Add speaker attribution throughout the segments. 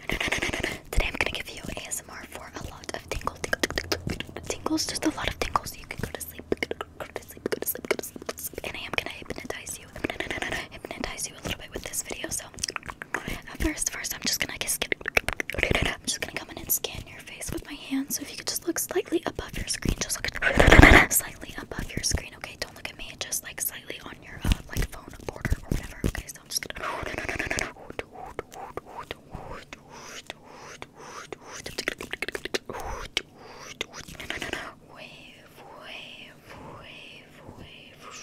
Speaker 1: Today I'm gonna give you ASMR for a lot of tingles, tingles, just a lot of tingles. So you can go to sleep, go to sleep, go to sleep, go to sleep. Go to sleep. And I am gonna hypnotize you, hypnotize you a little bit with this video. So at uh, first, first I'm just gonna just I'm just gonna come in and scan your face with my hand. So if you could just look slightly above your screen, just look at slightly above your screen. Okay, don't look at me. Just like slightly on your uh, like phone border or whatever. Okay, so so I'm just gonna. Wave, wave, wave, wave.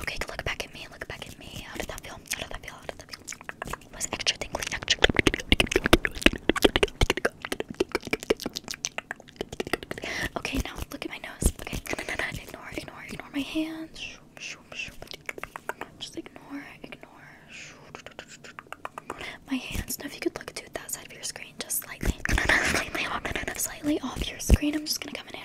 Speaker 1: Okay, look back at me. Look back at me. How did that feel? How did that feel? How did that feel? It was extra tingly, extra. Okay, now look at my nose. Okay, ignore, ignore, ignore my hands. Just ignore, ignore. My hands. Now, if you could look to that side of your screen, just slightly, slightly off, your screen. I'm just gonna come in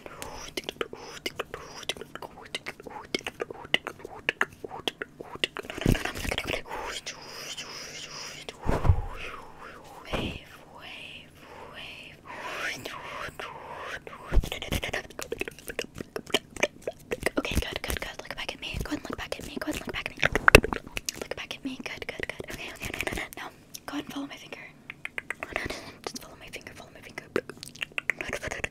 Speaker 1: Wave, wave, wave. Okay, good, good, good. Look back at me. Go ahead and look back at me. Go ahead and look back at me. Look back at me. Good, good, good. Okay, okay, no, no, no. Now, go ahead and follow my finger. Just follow my finger. Follow my finger. Okay, good.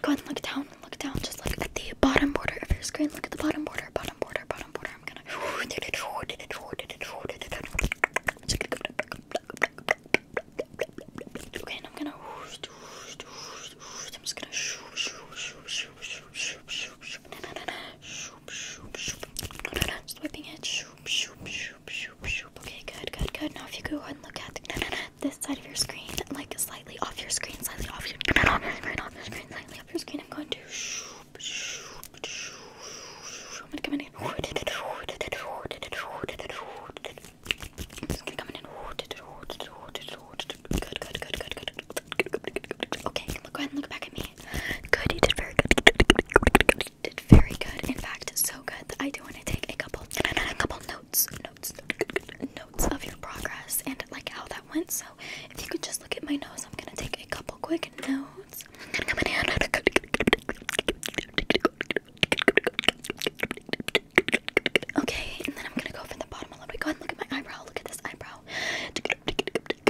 Speaker 1: Go ahead and look down look down, just look at the bottom border of your screen. Look at the bottom border, bottom border, bottom border. I'm gonna. Okay, and I'm gonna. I'm just gonna. Swiping it. Okay, good, good, good. Now if you go ahead and look at this side of your screen, like slightly off your screen, slightly off your screen, off your screen, off your screen, slightly up your skin. I'm going to. I'm gonna come in. I'm just gonna come in. Good, good, good, good, good. Okay, look, go ahead and look back at me. Good, you did very good. You did very good. In fact, so good that I do want to take a couple, a couple notes, notes, notes, of your progress and like how that went. So if you could just look at my nose, I'm gonna take a couple quick notes. Okay, and then I'm gonna go from the bottom a little bit. Go ahead and look at my eyebrow. Look at this eyebrow. Okay, good, good,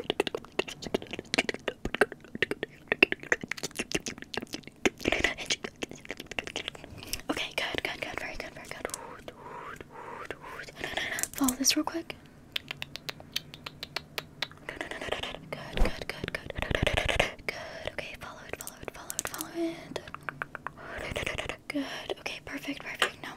Speaker 1: good, very good, very good. Follow this real quick. Good, good, good, good. Good. Okay, follow it, follow it, Good. Okay, perfect, perfect. Now,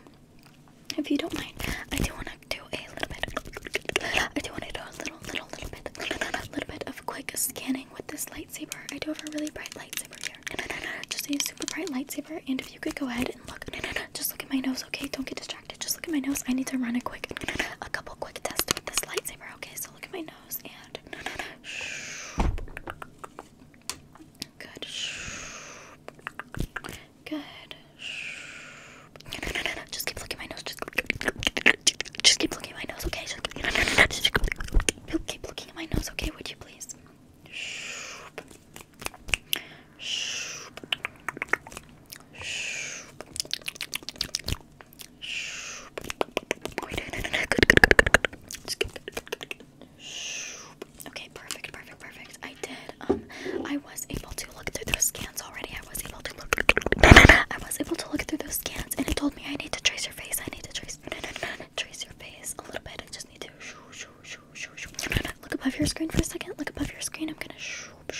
Speaker 1: if you don't mind, I do want to do a little bit. I do want to do a little, little, little bit, little bit of quick scanning with this lightsaber. I do have a really bright lightsaber here. Just a super bright lightsaber, and if you could go ahead and look. No, no, no. Just look at my nose, okay? Don't get distracted. Just look at my nose. I need to run a quick, a couple quick tests with this lightsaber, okay? So look at my nose and. Good. Good. No, no, no, no. Just keep looking at my nose. Just, just keep looking at my nose, okay? Just, no, no, no, no. just keep looking at my nose, okay? Would you please? Okay, perfect, perfect, perfect. I did. Um, I was able to look through those scans already. I was able to look. I was able to look through those scans, and it told me I need to trace your face. I need to trace, trace your face a little bit. I just need to. Look above your screen for a second. Look above your screen. I'm gonna. Good,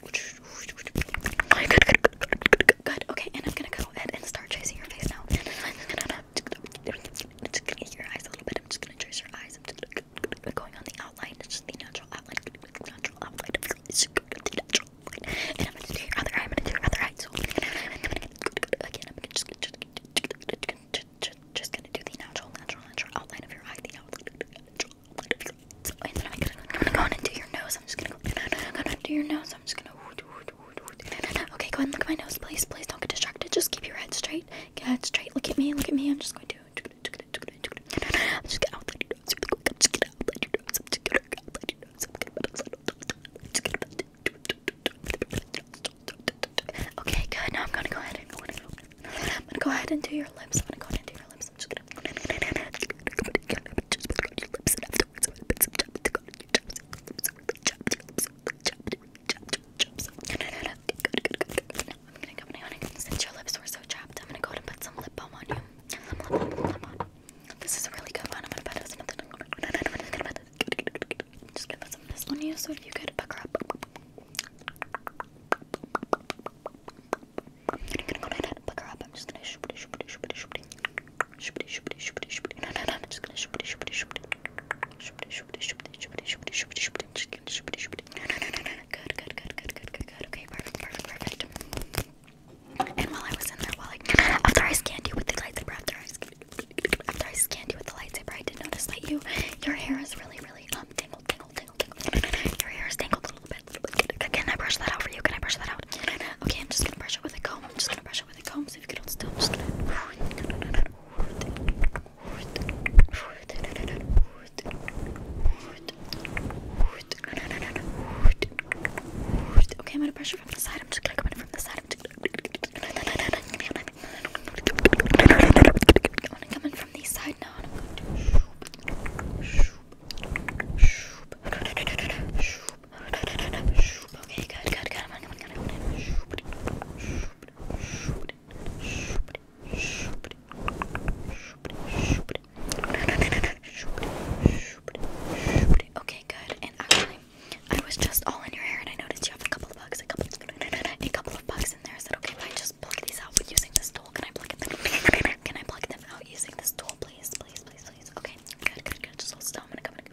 Speaker 1: good, good, good, good. Okay, and I'm gonna go ahead and start tracing your face now. Your eyes a little bit. I'm just gonna trace your eyes. I'm just going on the outline. It's just the natural outline. Natural outline. Natural and I'm gonna do your other eye. I'm gonna do your other eye. So again, I'm gonna just just gonna do the natural, natural, natural outline of your eye. The outline of your so, and then I'm gonna, I'm gonna go in and do your nose. I'm just gonna go. I'm gonna do your nose. I'm just gonna. Okay, go ahead and look at my nose, please. Please don't get distracted. Just keep your head straight. Get head straight. Look at me. Look at me. I'm just going to. I'm just gonna outline you know, really quick. I'm just gonna let you know something. I'm gonna let you know something. Okay, good. Now I'm gonna go ahead and go ahead. I'm gonna go ahead and do your lips. I'm gonna go ahead and do your lips. I'm just gonna. I'm gonna go ahead and since your lips were so chapped, I'm gonna go ahead and put some lip balm on you. This is a really good one. I'm gonna bet it was another Just gonna put some of this on you so you could pucker up. gonna go right ahead and pucker up. I'm just gonna shoopity shoopity shoopity shoopity. Shoopity shoopity shoopity shoopity. No, no, no. I'm just gonna shoopity shoopity shoopity. Shoopity shoopity shoopity shoopity shoopity shoopity shoopity. Just gonna shoopity shoopity. No, no, no, no, no. Good, good, good, good, good, good, good. Okay, perfect, perfect, perfect. And while I was in there, while I after I scanned you with the lightsaber, after I after I scanned you with the lightsaber, I did notice that you your hair is really, really um tangled, tangled, tangled, tangled. Your hair is tangled a little bit. Can I brush that out for you? Can I brush that out? Okay, I'm just gonna brush it with a comb. I'm just gonna brush it with a comb. So if you could hold still, I'm just gonna. Okay, I'm gonna pressure from the side. I'm just gonna come in from the side. I'm, just... I'm gonna come in from the side now, and I'm going to. Okay, good, good, good. I'm gonna come in. Okay, good. And actually, I was just all in your hair, and I noticed you have a couple of bugs, a couple, a couple of bugs in there. Is that okay if I just pluck these out using this tool? Can I pluck them? Can I pluck them out using this tool, please, please, please, please? Okay, good, good, good. Just hold still. I'm gonna come in.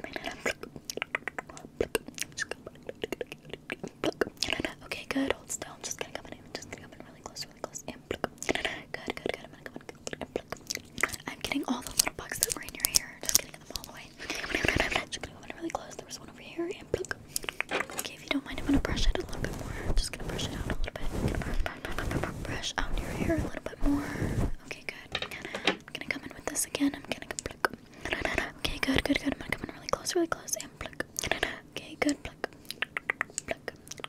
Speaker 1: Okay, good. Hold still. I'm just gonna come in. Just gonna come in really close, really close. And good, good, good. I'm gonna come in. I'm getting all the little bugs that were in your hair. Just getting them all the way. I'm gonna really close. There was one over here. And pluck. Okay, if you don't mind, I'm gonna brush it a little bit more. I'm just gonna brush it out a little bit. Brush out your hair a little bit more. Okay, good. I'm gonna come in with this again. I'm gonna pluck. Okay, good, good, good. I'm gonna come in really close, really close. And pluck. Okay, good. Pluck.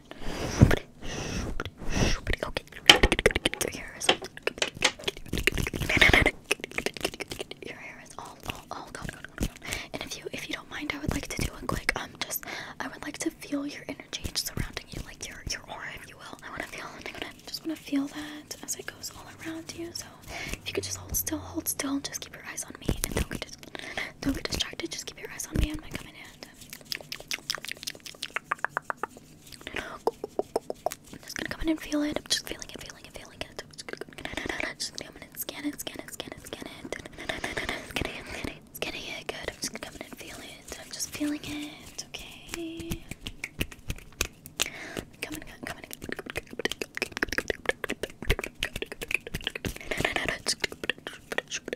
Speaker 1: Okay. Your hair is all all all gone, And if you if you don't mind, I would like to do a quick um just I would like to feel your energy surrounding you, like your your aura, if you will. I wanna feel and I just wanna feel that as it goes all around you. So if you could just hold still, hold still, just keep your eyes on me don't get distracted, just keep your eyes on me. and my coming in it. I'm just gonna come in and feel it. I'm just feeling it, feeling it, feeling it. I'm just gonna come in and scan it, scan it, scan it, scan it. Scanning it, scanning it, scanning it. Good. I'm just gonna come in and feel it. I'm just feeling it. Okay. Come in, come in. Come in.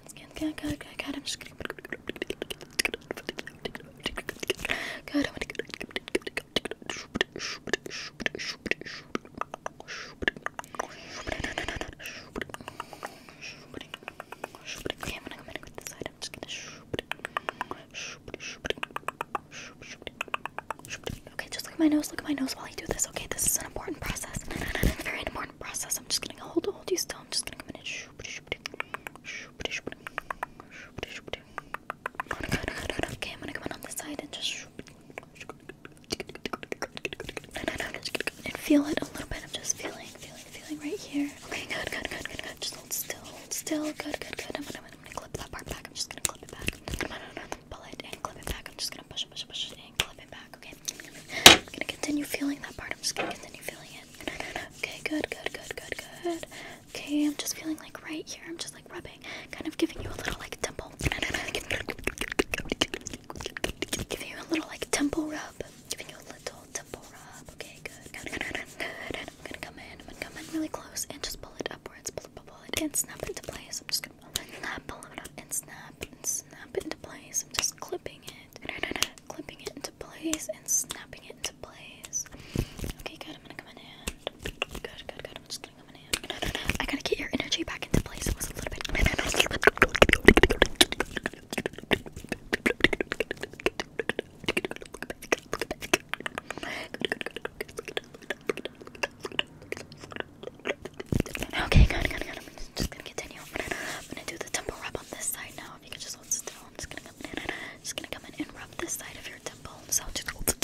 Speaker 1: Okay, just Okay, just look at my nose. Look at my nose while I do this. Okay, this is an important process. Very important process. I'm just gonna hold, hold you still. I'm just gonna come in and. Okay, I'm gonna come on this side and just and feel it a little bit. I'm just feeling, feeling, feeling right here. Okay, good, good, good, good, Just hold still, still. Good, good, I'm gonna, clip that part back. I'm just gonna clip it back. I'm pull it and clip it back. I'm just gonna push push push it, and clip it back. Okay. I'm gonna continue feeling that part. I'm just gonna continue feeling it. Okay, good, good, good, good, good. Okay, I'm just feeling like right here. I'm just like rubbing, kind of giving you a little like temple. Giving you a little like temple rub. Giving you a little temple rub. Okay, good, good, good, I'm gonna come in. I'm gonna come in really close and just pull it upwards. Pull it, pull it, and snap it into place. I'm just gonna pull it, snap, pull it and snap, and snap it into place. I'm just clipping it clipping it into place and snapping it into place. Okay, good. I'm gonna come in hand. good, good, good. I'm just gonna come in and I gotta get your energy back into place. It was a little bit. Okay, good, good, good. I'm just gonna continue. I'm gonna do the temple rub on this side now. If you could just hold still, I'm just gonna just gonna come in and rub this side of your temple. So just Okay,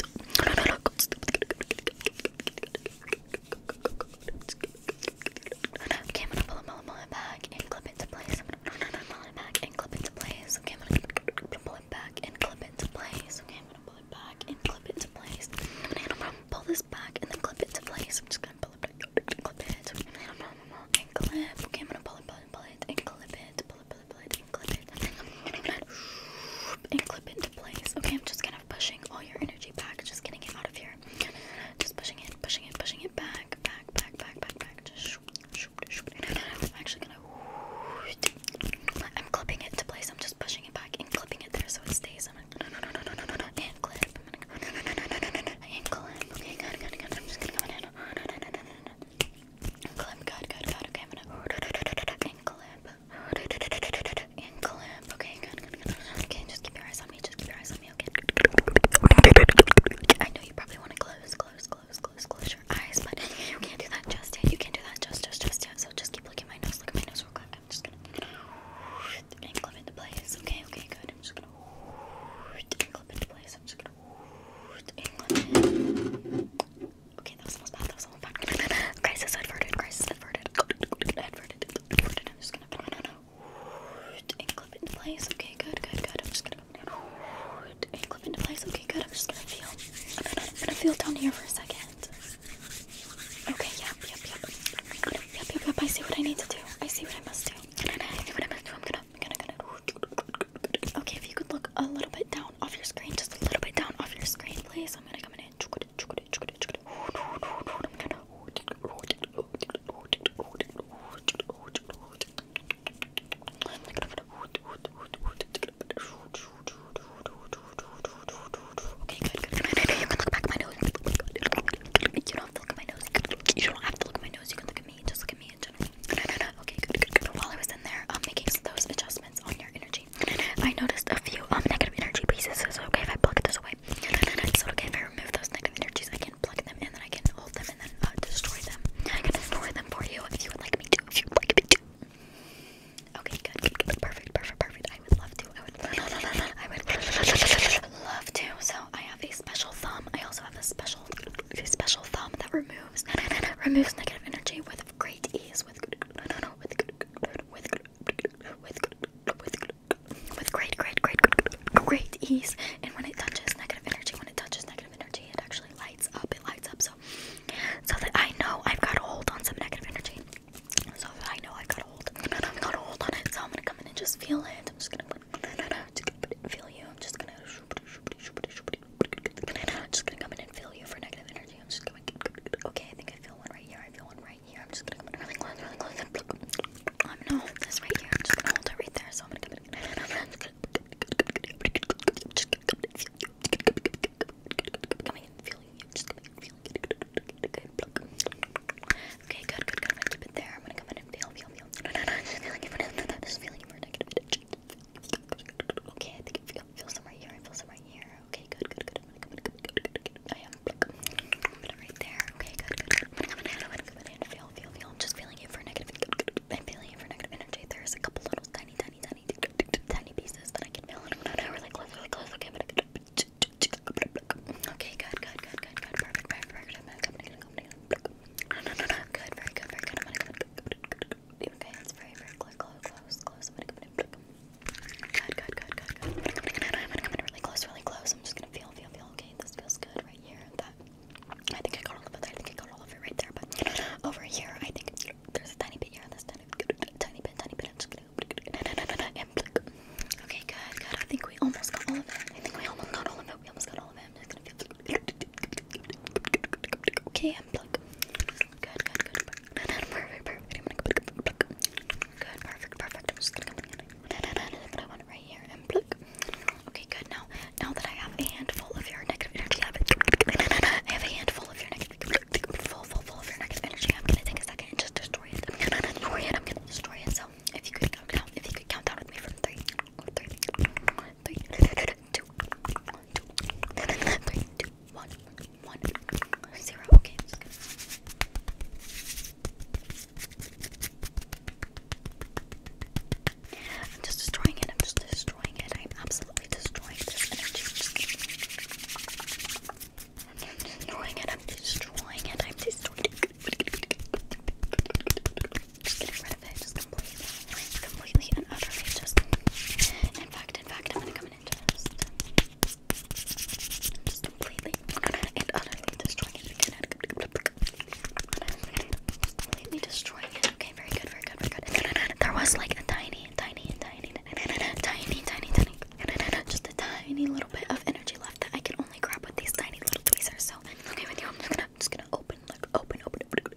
Speaker 1: I'm gonna pull a back and clip it place. I'm going pull it back and clip it place. Okay, I'm gonna pull it back and clip it place. Okay, I'm gonna pull it back and clip it place. I'm gonna pull this back and then clip it to place. I'm just gonna pull it back, clip it, and clip. Okay, I'm gonna pull it back and pull it clip it, pull it, pull it, clip it, clip it into place. Okay, I'm just kind of pushing all your energy back, just getting it out of here. Just pushing it, pushing it, pushing it back, back, back, back, back, back. Just shoop, shoop, shoop. I'm actually gonna. I'm clipping it to place. I'm just pushing it back and clipping it there so it stays. I'm gonna and clip. And clip. Okay, good, good, good. I'm just gonna go in. Clip, good, good, Okay, Okay, just keep your eyes on me. Just keep your eyes on me, okay? I know you probably want to close, close, close, close, close your eyes, but you can't do that just You can't do that just, just, just yet. So just keep looking at my nose. Look at my nose real quick. I'm just gonna and clip into place. Okay, okay, good. I'm just gonna and clip into place. I'm just gonna and okay, that was almost bad. That was almost bad. crisis averted. Crisis averted. Adverted. Adverted. I'm just gonna put it and clip it in place. Okay, good, good, good. I'm just gonna and clip it into place. Okay, good. I'm just gonna feel. I'm gonna, I'm gonna feel down here for a second. Okay, yep, yep, yep. Yep, yep, yep. I see what I need to do. I see what I must do. I see what I must do. I'm gonna, I'm gonna, gonna. Okay, if you could look a little bit down off your screen, just a little bit down off your screen, please. I'm gonna come in. Okay, good, good, good. You can look back at my nose. You don't have to look at my nose. You don't have to look at my nose. You can look at me. Just look at me. Okay, While I was in there, um, making those adjustments on your energy, I noticed a few um, negative energy pieces. So okay if I plug those away. So okay if I remove those negative energies, I can plug them in, and I can hold them, and then uh, destroy them. I can destroy them for you if you would like me to. If you would like me to. Okay, good. Perfect, perfect, perfect. I would love to. I would. I would love to. So I have a special thumb. I also have a special, a special thumb that removes removes negative energy with great ease. With with with with with great, great, great, great ease. And when it touches negative energy, when it touches negative energy, it actually lights up. It lights up. So so that I know I've got a hold on some negative energy. So that I know I've got a hold. I've got a hold on it. So I'm gonna come in and just feel it. I'm just gonna just gonna feel you. I'm just gonna just gonna come in and feel you for negative energy. I'm just gonna okay, I think I feel one right here. I feel one right here. I'm just gonna come in really close, really close and pluck. Um no, this right here. I'm just gonna hold it right there. So I'm gonna come in coming and feel you. I'm just gonna feel you. Good, pluck. Okay, good, good, good. I'm gonna keep it there. I'm gonna come in and feel you feel, feel. No, no, no, I'm just feeling it for now. I'm just feeling it for a negative minute. Okay, I think it feel, feels some right here. I feel some right here. Okay, good, good, good. I'm gonna come in, good, good, good, good. I am. Put it right there. Okay, good, good, good. I'm gonna come in, I'm gonna come in. Feel, feel, feel. I'm just feeling it for negative. Good, good, good. I'm feeling it for negative energy. There's a couple little tiny, tiny, tiny, tiny pieces that I can feel. No, no, really close, really close. Okay, I'm gonna. Okay, good, good, good, good, good. Perfect, perfect, perfect. I'm gonna come in, come in, Good, very good, very good. I'm gonna go. Okay, that's very, very close, close, close. i I'm gonna come really close, really close. I'm just gonna feel, feel, feel. Okay, this feels good right here. I think I got all of it. I think I got all of it right there. But over here, I think there's a tiny bit here. This tiny, tiny bit, tiny bit. I'm just gonna. Okay, good, good. I think we almost got all of it. I think we almost got all of it. We almost got all of it. I'm just gonna feel. Okay, unplug. Good, Perfect, perfect. I'm gonna pluck. perfect, perfect. I'm just gonna come in. I want right here. And pluck. Okay, good. Now, now that I have a handful of your negative energy, I have, a handful of your negative, full, full, full of your negative energy. I'm gonna take a second and just destroy it. I'm gonna destroy it. I'm gonna destroy it. So, if you could count down, if you could count down with me from three, three, three, two, three, two, one, one, zero. Okay. I'm just destroying it. I'm just destroying it. I'm absolutely destroying this energy. I'm destroying it. I'm destroying it. I'm destroying it. Just getting rid of it. Just completely, completely and utterly. Just. In fact, in fact, I'm gonna come in and just. Just completely and utterly destroying it. Completely destroying it. Okay, very good, very good, very good. There was like a tiny, tiny, tiny, tiny, tiny, tiny. Just a tiny little bit of energy left that I can only grab with these tiny little tweezers. So, okay, with you, I'm just gonna, just gonna open, like, open, open, open,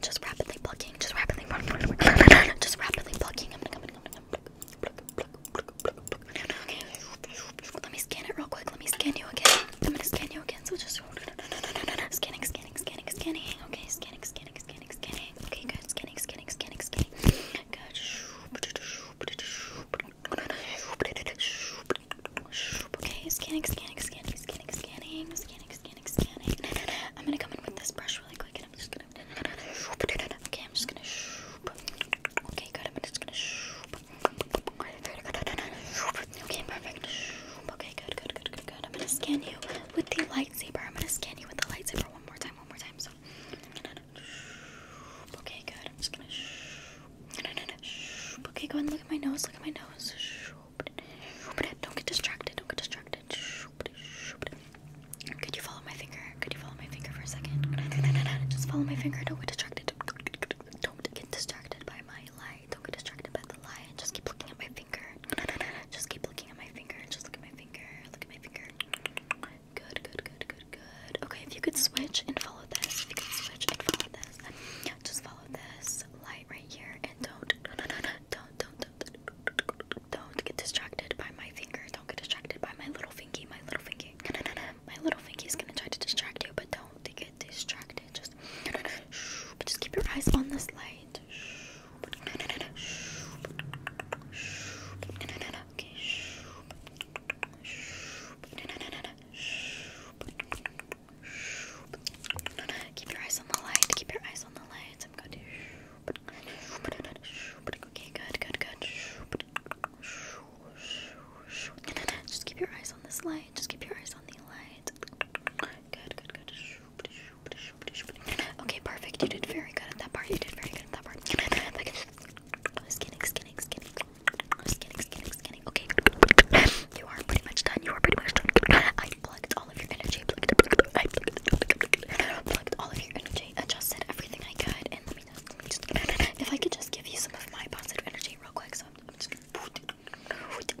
Speaker 1: Just rapidly plucking, just rapidly just rapidly plucking. I'm gonna, I'm gonna, I'm Let me scan it real quick. Let me scan you again. I'm gonna scan you again. So just scanning, scanning, scanning, scanning. Okay, scanning, scanning, scanning, scanning. Okay, good. Scanning, scanning, scanning, scanning. Good. Okay, scanning, scanning, scanning, scanning, scanning, scanning. I'm gonna come in with this brush really quick and I'm just gonna. Okay, I'm just gonna. Okay, good. I'm just gonna. Okay, perfect. Okay, good, good, good, good, good. I'm gonna scan you with the lightsaber. I'm gonna scan you with the lightsaber one more time, one more time. So. Okay, good. I'm just gonna. Okay, go ahead and look at my nose. Look at my nose. Don't get distracted. Don't get distracted. Could you follow my finger? Could you follow my finger for a second? Just follow my finger. Don't get distracted. Don't get distracted by my light. Don't get distracted by the light. Just keep looking at my finger. Just keep looking at my finger. Just look at my finger. Look at my finger. Good, good, good, good, good. Okay, if you could switch and follow this. If you could switch and follow this. Just follow this light right here and don't. Don't, don't, don't. don't, don't don't get distracted by my finger. Don't get distracted by my little fingy. My little fingy. My little fingy is gonna try to distract you, but don't get distracted. Just, but just keep your eyes on this light. Keep your eyes on the light. Keep your eyes on the light. Okay, good, good, good. Just keep your eyes on this light. Just keep your eyes on the light. Good, good, good. Okay, perfect. You did very good at that part. You did very good at that part. Skinning, skinning, skinning. Skinning, skinning, skinning. Okay. You are pretty much done. You are pretty much done. I plugged all of your energy. Plucked, I plucked, plucked all of your energy. Adjusted everything I could. And let me just, if I could just give you some of my positive energy real quick. So I'm, just Good, good,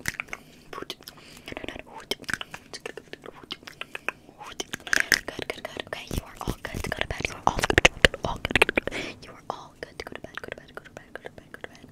Speaker 1: good. Okay, you are all good to go to bed. You are all good. You are all good to Go to bed. Go to bed. Go to bed. Go to bed. Go to bed.